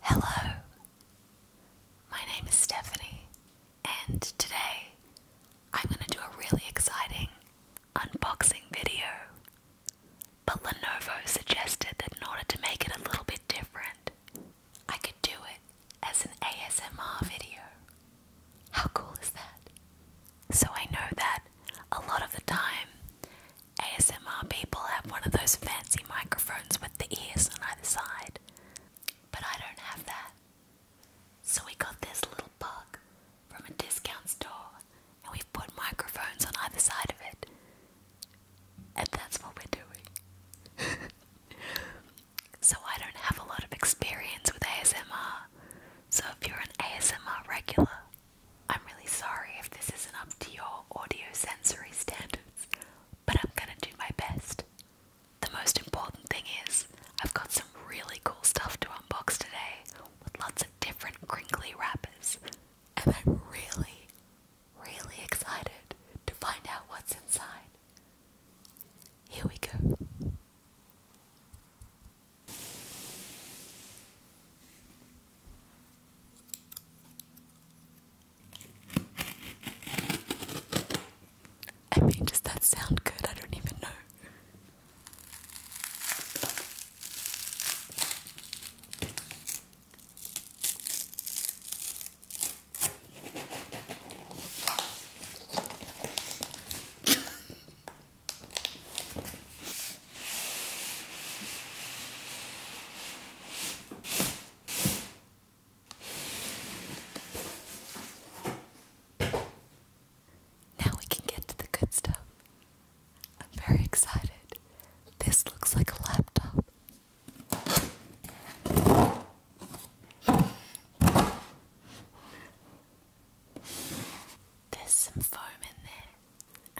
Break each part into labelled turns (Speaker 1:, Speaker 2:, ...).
Speaker 1: Hello, my name is Stephanie, and today I'm going to do a really exciting unboxing video. But Lenovo suggested that in order to make it a little bit different, I could do it as an ASMR video. How cool is that? So I know that a lot of the time ASMR people have one of those fancy microphones with the ears on either side, but I don't have that. So we got this little bug from a discount store and we've put microphones on either side of it. And that's what we're doing. so I don't have a lot of experience with ASMR. So if you're an ASMR regular, I'm really sorry if this isn't up to your audio sensory standards, but I'm gonna do my best. The most important thing is, I've got some really cool stuff to unbox today with lots of different crinkly wrappers, and I'm really, really excited to find out what's inside. Here we go. I mean, does that sound good? I don't even know. Now we can get to the good stuff. I'm very excited. This looks like a laptop. There's some foam in there.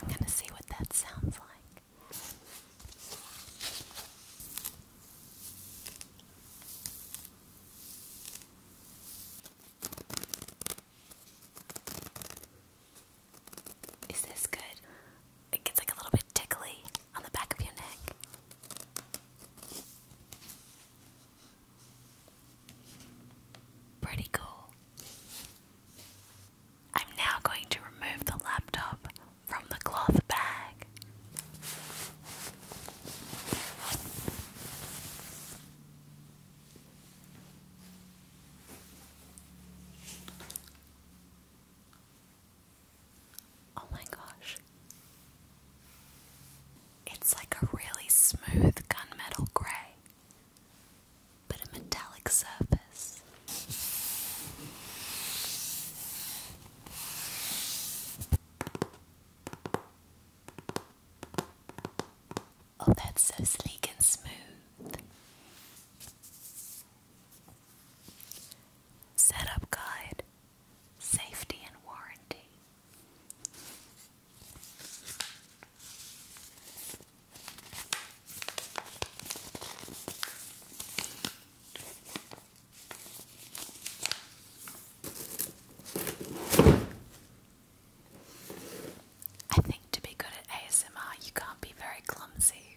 Speaker 1: I'm going to see what that sounds like. Is this good? It gets like a little bit tickly on the back of your neck. Pretty cool. I'm now going to remove the laptop from the cloth bag. Oh my gosh. It's like a really smooth gunmetal grey, but a metallic surface. Oh, that's so sleek and smooth. Setup Guide Safety and Warranty. I think to be good at ASMR, you can't be very clumsy.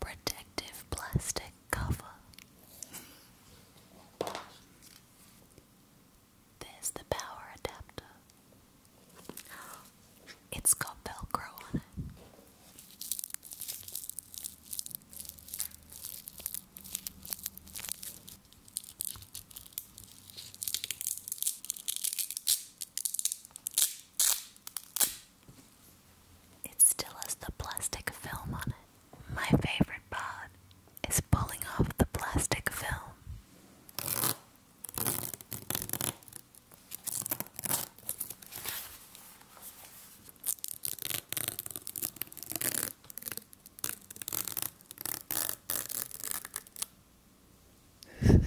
Speaker 1: protective plastic cover. There's the power adapter. It's got Velcro on it. It still has the plastic film on it. My favorite part is pulling off the plastic film.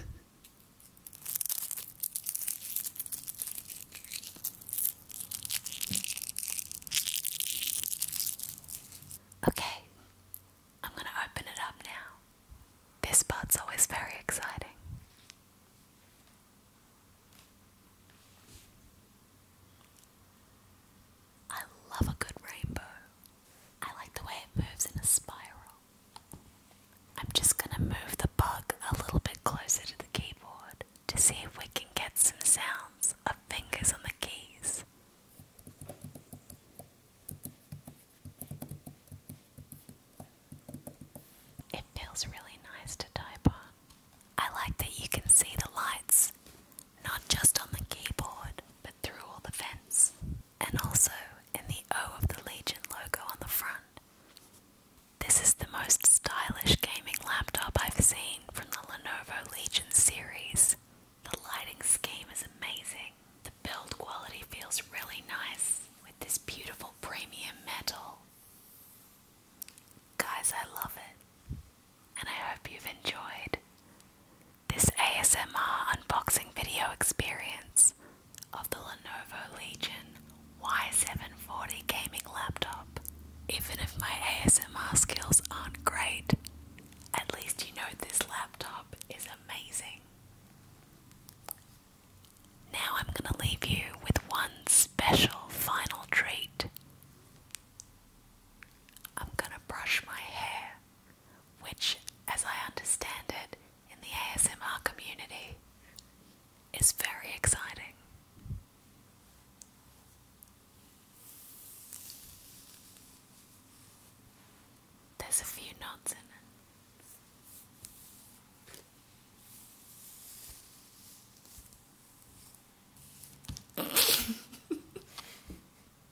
Speaker 1: Okay, I'm going to open it up now. This part's always very exciting. I love a good rainbow. I like the way it moves in a spiral. I'm just gonna move the bug a little bit closer to the keyboard to see if we can get some sounds of fingers on the keys. It feels really nice to type on. I like that you can see the lights, not just on the keyboard, but through all the vents and also in the O of the Legion logo on the front. This is the most stylish gaming laptop I've seen from the Lenovo Legion series. The lighting scheme is amazing. The build quality feels really nice with this beautiful premium metal. Guys, I love it, and I hope you've enjoyed this ASMR unboxing video experience of the Lenovo Legion Y740 gaming laptop. Even if my ASMR skills aren't great, at least you know this laptop is amazing. Now I'm going to leave you with one special final treat. I'm going to brush my hair which, as I understand it, in the ASMR community is very exciting. There's a few knots in it.